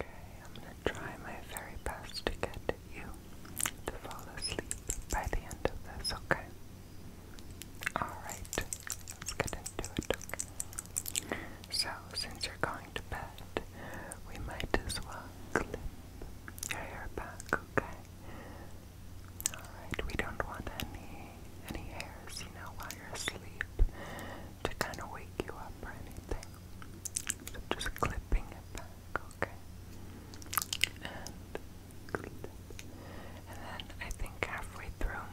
Okay, I'm gonna try my very best to get you to fall asleep by the end of this, okay? Alright, let's get into it, So, since you're going to bed, we might as well clip your hair back, okay? Alright, we don't want any any hairs, you know, while you're asleep to kind of wake you up or anything. So i just clipping it back, okay? And then I think halfway through,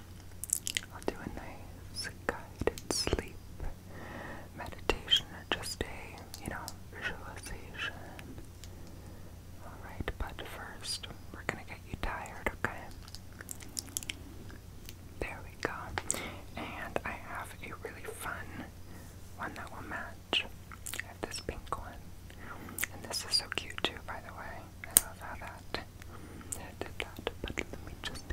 I'll do a nice guided sleep meditation, just a, you know, visualization. Alright, but first, we're gonna get you tired, okay? There we go. And I have a really fun one that will match. this pink one. And this is so cute too, by the way. I love how that did that. But let me just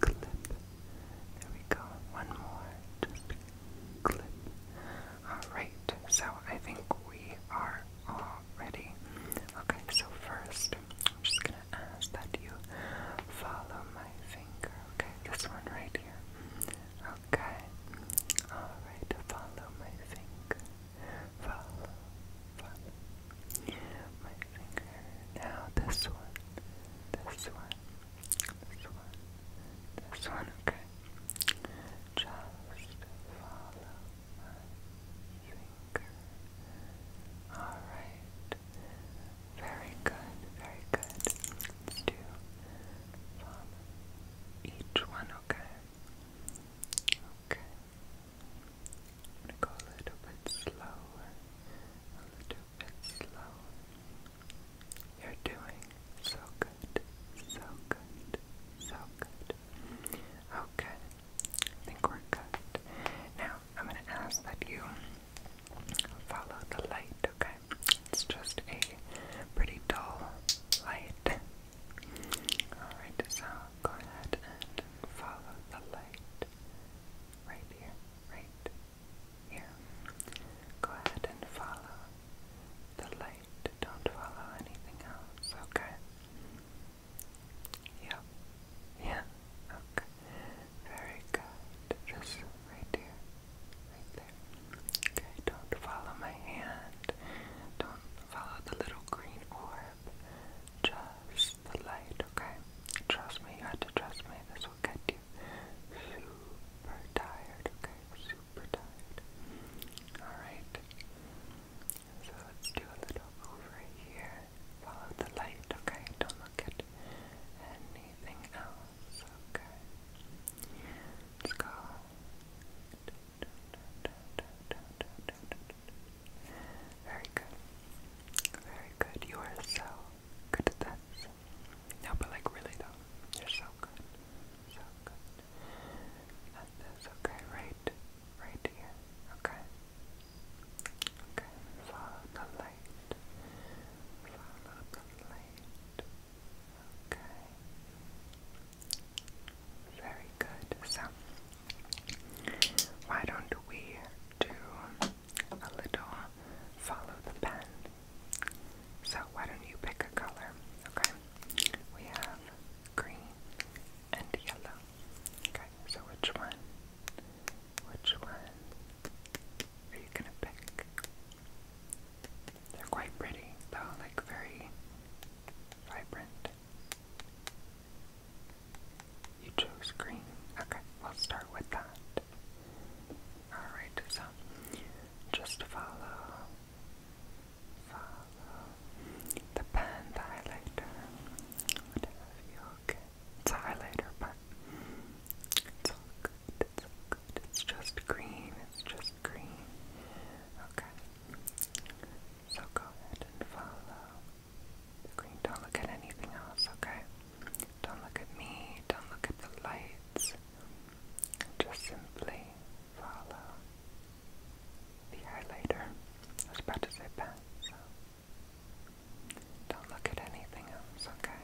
clip. There we go. One more. Just clip. Alright, so I think we are all ready. Okay, so first next, I'm just gonna ask that you follow my finger, okay? This one right here. Okay. Alright, follow my finger. Follow, follow my finger. Now this one, this one, this one, this one, okay? Just follow my finger. Alright, very good, very good. Let's do from each one, okay? Okay. going a little bit slower. A little bit slower. You're doing so good. So good. So good. Okay. I think we're good. Now I'm gonna ask that you Follow the light, okay? It's just a pretty dull light. Alright, so go ahead and follow the light. Right here, right here. Go ahead and follow the light. Don't follow anything else, okay? Yep. Yeah. Okay. Very good. Just right there. Right there. Okay, don't follow my hand. Don't follow the little green orb. Just the light, okay? Trust me, you have to trust me. This will get you super tired, okay? Super tired. Alright. So let's do a little over here follow the light, okay? Don't look at anything else, okay? Let's go. Very good. Very good. You are so good at this. No, but like really though. You're so good. So good. At this, okay? Right. Right here. Okay. Okay, follow the light. Follow the light. Okay. Very good. So, why don't we do a little follow the pen? So, why don't you pick a color? Okay. We have green and yellow. Okay, so which one? Which one are you gonna pick? They're quite pretty, though, like very vibrant. You chose green. Okay, we'll start with that. Alright, so just follow, follow the pen, highlighter, what you, okay. It's highlighter, but it's all good. It's all good. It's just green. It's just green. Okay. So go ahead and follow Don't look at anything else, okay? Don't look at me. Don't look at the lights. Just simply follow the highlighter. I was about to say pen, don't look at anything else, okay?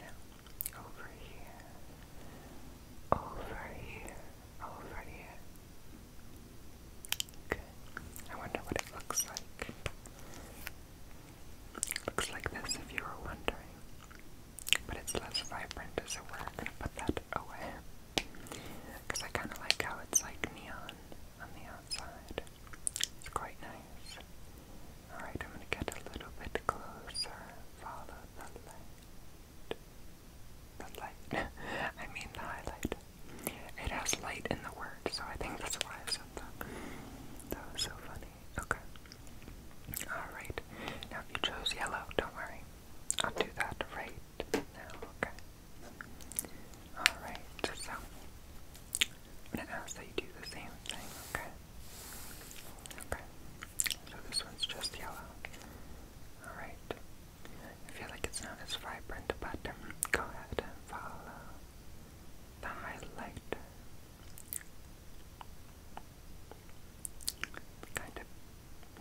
Now, over here, over here, over here. I wonder what it looks like. looks like this if you were wondering. But it's less vibrant as it were. gonna put that away. Because I kind of like how it's like neon on the outside. It's quite nice. Alright, I'm going to get a little bit closer. Follow the light. The light. I mean the highlight. It has light in the word, so I think that's why I said that. That was so funny. Okay. Alright. Now if you chose yellow, don't worry. I'll do that right now, okay? Alright, so I'm gonna ask that you do the same thing, okay? Okay. So this one's just yellow. Alright. I feel like it's not as vibrant, but um, go ahead and follow the highlighter. Kind of.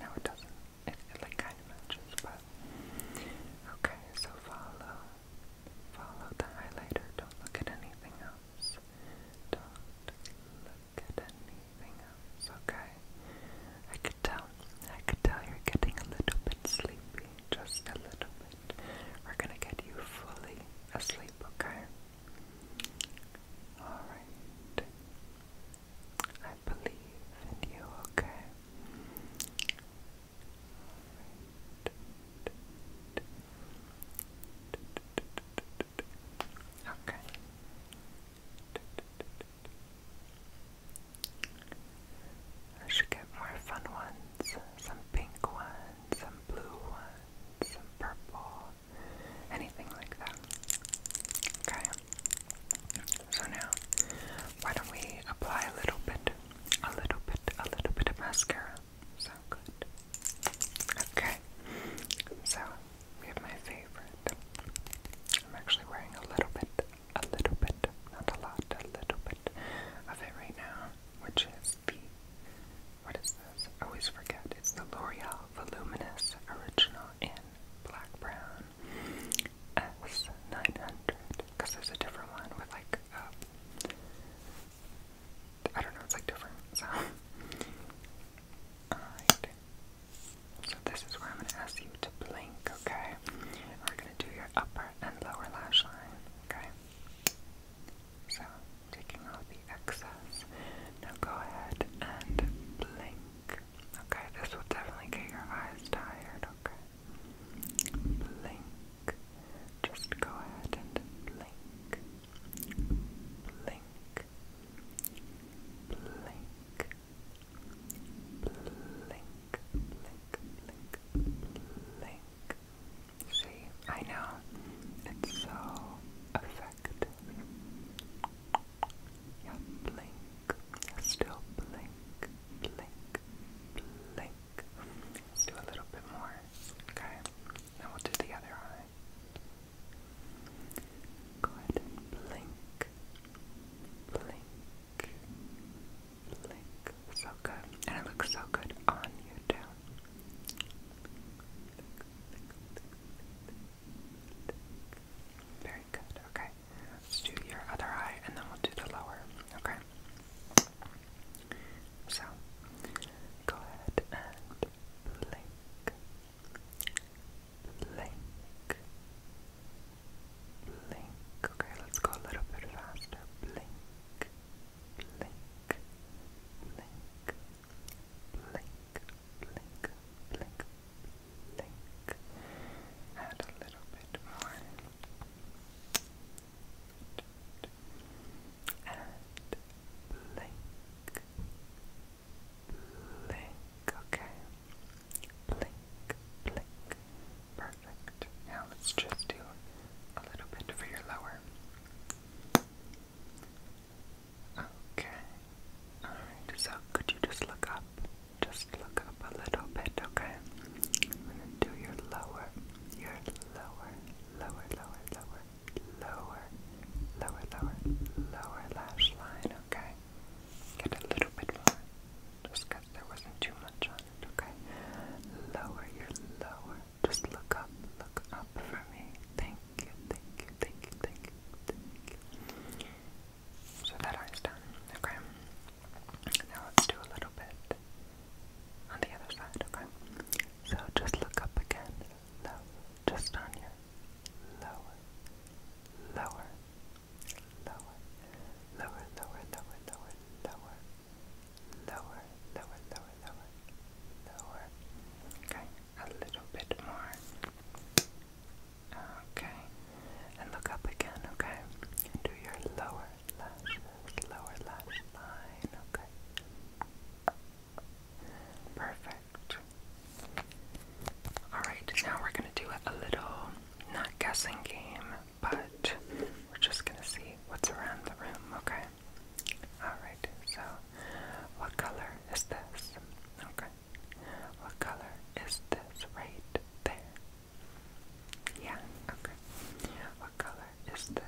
No, it doesn't. it like kind of matches, but okay. So follow Follow the highlighter. Don't look at anything else. Don't look at anything else, okay? I could tell. I could tell you're getting a little bit sleepy. Just a little bit. We're gonna get you fully asleep, okay? Alright. I believe in you, okay? Okay. I should get more fun ones. Some pink ones, some blue ones, some purple, anything like that. Okay. So now why don't we apply a little bit, a little bit, a little bit of mascara? So good. Okay, so we have my favorite. I'm actually wearing a little bit, a little bit, not a lot, a little bit of it right now, which is the, what is this? I always forget. It's the L'Oreal Voluminous Original in Black Brown S900, because there's a different one with like um, I don't know, it's like different, so. this is where I'm gonna ask you to blink, okay? We're gonna do your upper and lower lash line, okay? So, taking out the excess. Now go ahead and blink. Okay, this will definitely get your eyes tired, okay? blink. Just go ahead and blink, blink, blink, blink, blink, blink, blink. See, I know it's so effective. Yeah, blink, still blink, blink, blink. Let's do a little bit more. Okay. Now we'll do the other eye. Go ahead blink. Blink. Blink. So good. And it looks so good on you too. Very good. Okay. Let's do your other eye and then we'll do the lower. Okay. So, go ahead and blink, blink, blink. Okay, let's go a little bit faster. Blink, blink, blink, blink, blink, blink, blink. Add a little bit more and blink, blink, okay, blink, blink, perfect. Now let's just do a little bit for your lower. Okay, alright, so could you just look up? Just look up a little bit, okay? to your lower, your lower, lower, lower, lower, lower, lower, lower, lower lash line, okay? Get a little bit more, just there wasn't too much on it, okay? Lower, your lower, just look up, look up for me, thank you, thank you, thank So that eye's done, okay? Now let's do a little bit on the other side, okay? So just look up again, low, just on your lower, lower, lower, lower, lower, lower, lower, lower, lower, lower, lower, lower, lower. Okay, a little bit more. Okay, and look up again, okay? Do your lower, lower lash line, okay. Perfect. Alright, now we're gonna do a little, not guessing game, but we're just gonna see what's around the room, okay? Alright, so what color is this? Okay. What color is this right there? Yeah, okay. What color is this?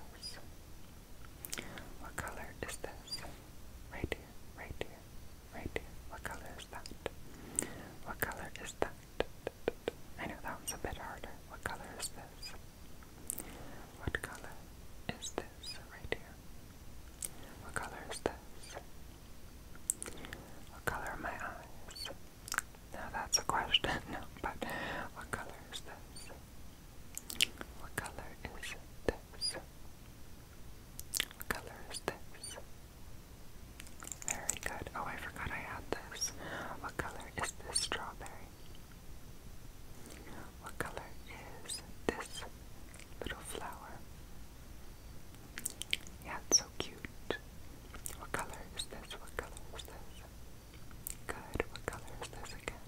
What color is this? Right here, right here, right here. What color is that? What color is that? I know that one's a bit harder. What color is this? What color is this right here? What color is this? What color are my eyes? Now that's a question, but what color is this? What color is this? What color is this? Very good. Oh, I forgot I had this. What color is this strawberry? What color is this little flower? Yeah, it's so cute. What color is this? What color is this? Good. What color is this again?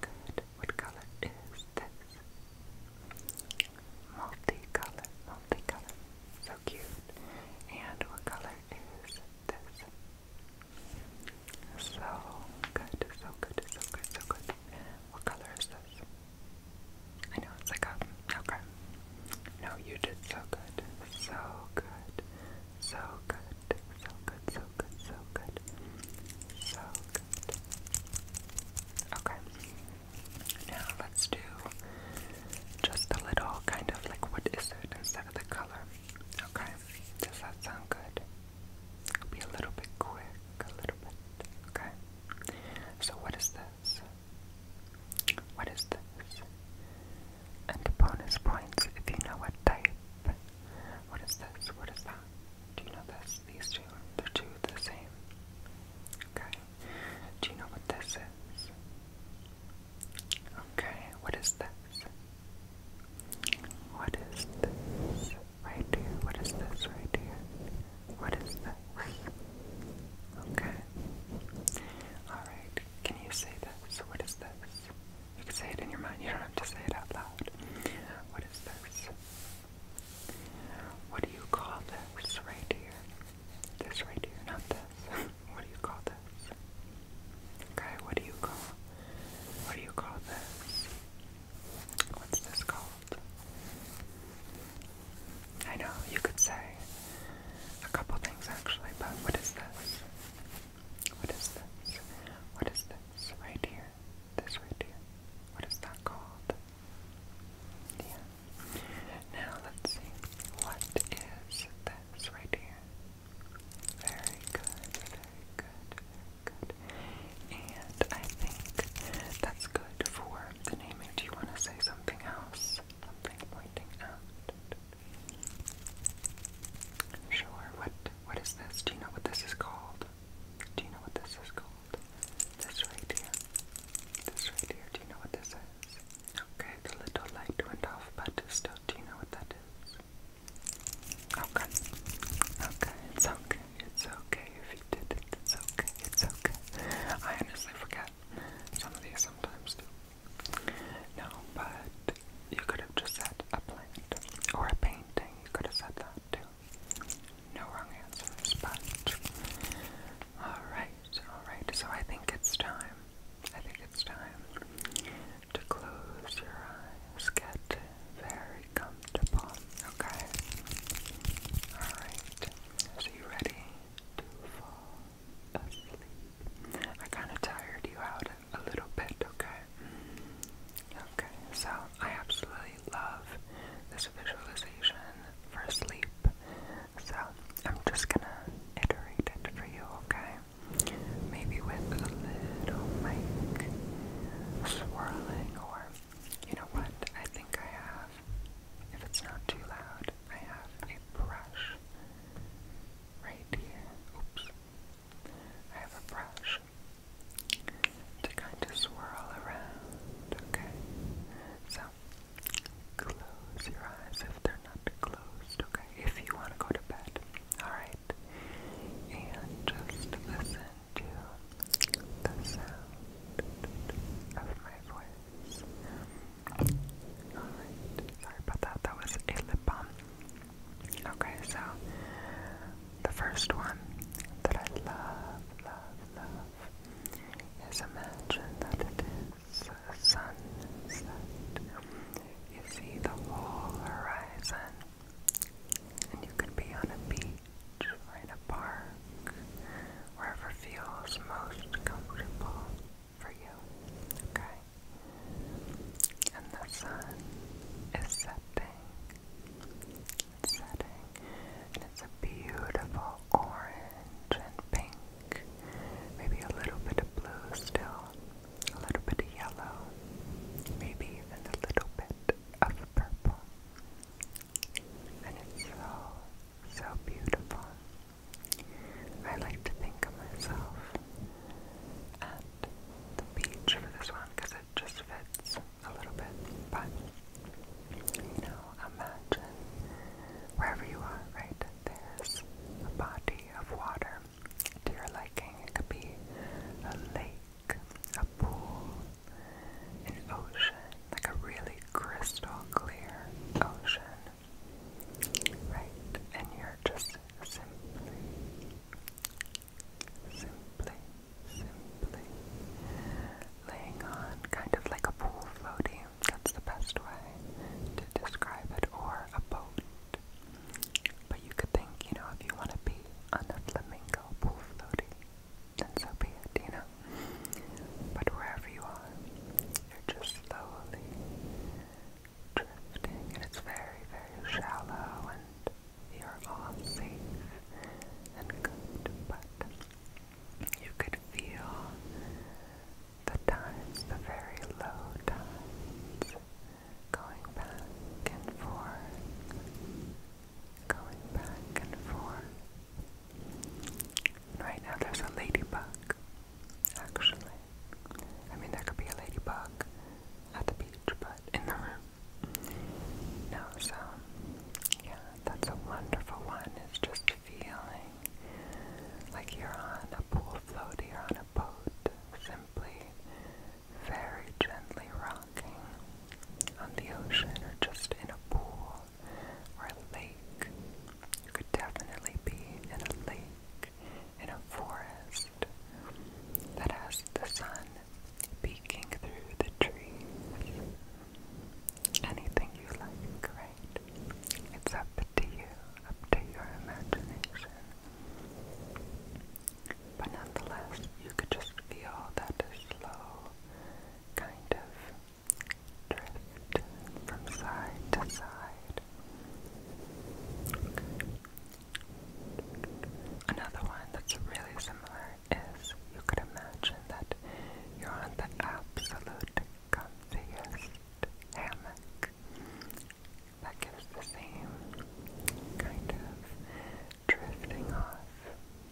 Good. What color is this? Multicolor. Multicolor. So cute. And what color is this? So good, so good, so good, so good. What color is this? I know it's like a okay. No, you did so good. So good. So good. So good. So good. So good. So good. Okay. Now let's do just a little kind of like what is it instead of the color. Okay. Does that sound good? It'll be a little bit quick, a little bit. Okay. So what is this? What is this? And bonus points if you know what type. What is this? What is that? Do you know this? These two? They're two the same. Okay. Do you know what this is? Okay. What is this? What is this? Right here. What is this right here? What is this? Okay. Alright. Can you say this? What is this? You can say it in your mind. You don't have to say it out loud. What is this? What do you call this right here? This right here, not this. what do you call this? Okay, what do you call? What do you call this? What's this called? I know, you could say, a couple things actually, but what is this? What is this? What is this right here? This right here. What is that called? Yeah. Now let's see. What is this right here? Very good, very good, good. And I think that's good for the name if you want to say something else. Something pointing out. Sure. What what is this? Do you know what this is called? Do you know what this is called? This right here. This right here. Do you know what this is? Okay, the little light went off, but still, do you know what that is? Okay. Okay, it's okay. It's okay if you did it. It's okay. It's okay. I honestly forget some of these sometimes too. No, but you could have just said a plant or a painting. You could have said that too. No wrong answers, but alright, alright. So I think it's time. I think it's time to close your eyes. Get very comfortable, okay? Alright. So you ready to fall I kind of tired you out a little bit, okay? Okay, so I absolutely love this visualization for sleep. So I'm just gonna iterate it for you, okay? Maybe with a little mic swirling, or you know what? I think I have, if it's not too loud, I have a brush right here. Oops. I have a brush to kind of swirl around, okay? So, close your eyes if they're not closed, okay? If you want to go to bed, alright? And just listen to the sound of my voice sorry about that. That was a lip balm. Okay, so the first one that I love, love, love is imagine that it is sun sunset. You see the whole horizon, and you could be on a beach or in a park, wherever feels most comfortable for you, okay? And the sun is setting, it's setting, and it's a beautiful orange and pink, maybe a little bit of blue still, a little bit of yellow, maybe even a little bit of purple. And it's so, so beautiful. I like to think of myself at the beach for this one because it just fits a little bit. But, you know, imagine wherever you are, right? There's a body of water to your liking. It could be a lake, a pool, an ocean, like a really crystal clear ocean right? And you're just simply, simply, simply laying on, kind of like a pool floating. That's the best way to describe it, or a boat. But you could think, you know, if you want to be on a flamingo pool floating, then so be it, you know. But wherever you are, you're just slowly drifting, and it's very, very shallow, and you're all safe and good, but you could feel the tides, the very low times, going back and forth, going back and forth. Right now there's a ladybug actually. I mean, there could be a ladybug at the beach, but in the room. No, so, yeah, that's a wonderful one. It's just feeling like you're on a pool float, you're on a boat, simply very gently rocking on the ocean or just in a pool or a lake you could definitely be in a lake, in a forest that has the sun peeking through the trees. Anything you like, right? It's up to you, up to your imagination. But nonetheless, you could just feel that slow kind of drift from side to side. Another one that's really similar is you could imagine that you're on the absolute comfiest hammock that gives the same kind of drifting off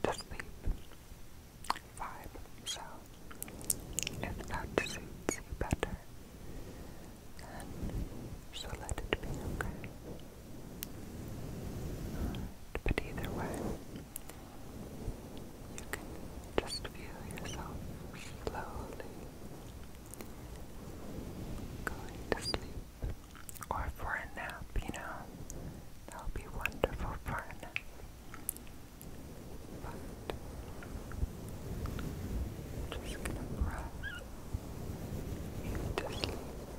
to sleep vibe. So if that suits you better, then so let it be okay. But either way, you can just feel yourself slowly going to sleep or for a nap, you know. That would be wonderful for a but i just gonna brush you sleep,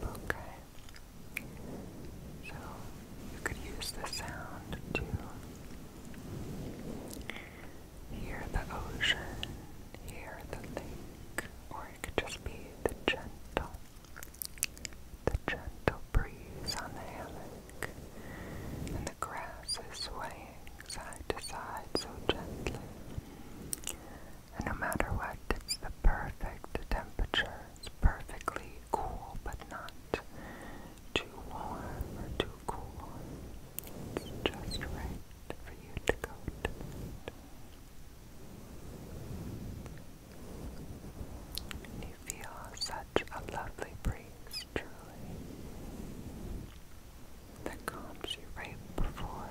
okay? So you could use the sound to hear the ocean, hear the lake, or it could just be the gentle, the gentle breeze on the hammock and the grass is swaying side to side so gently. And no matter what, it's the perfect temperature. It's perfectly cool, but not too warm or too cool. It's just right for you to go And you feel such a lovely breeze truly that calms you right before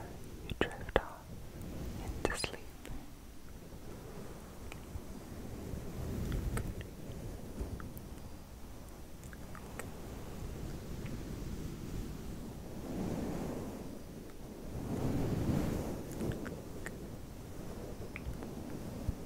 you drift off into sleep.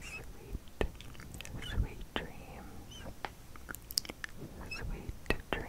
Sweet, sweet dreams, sweet dreams. dreams.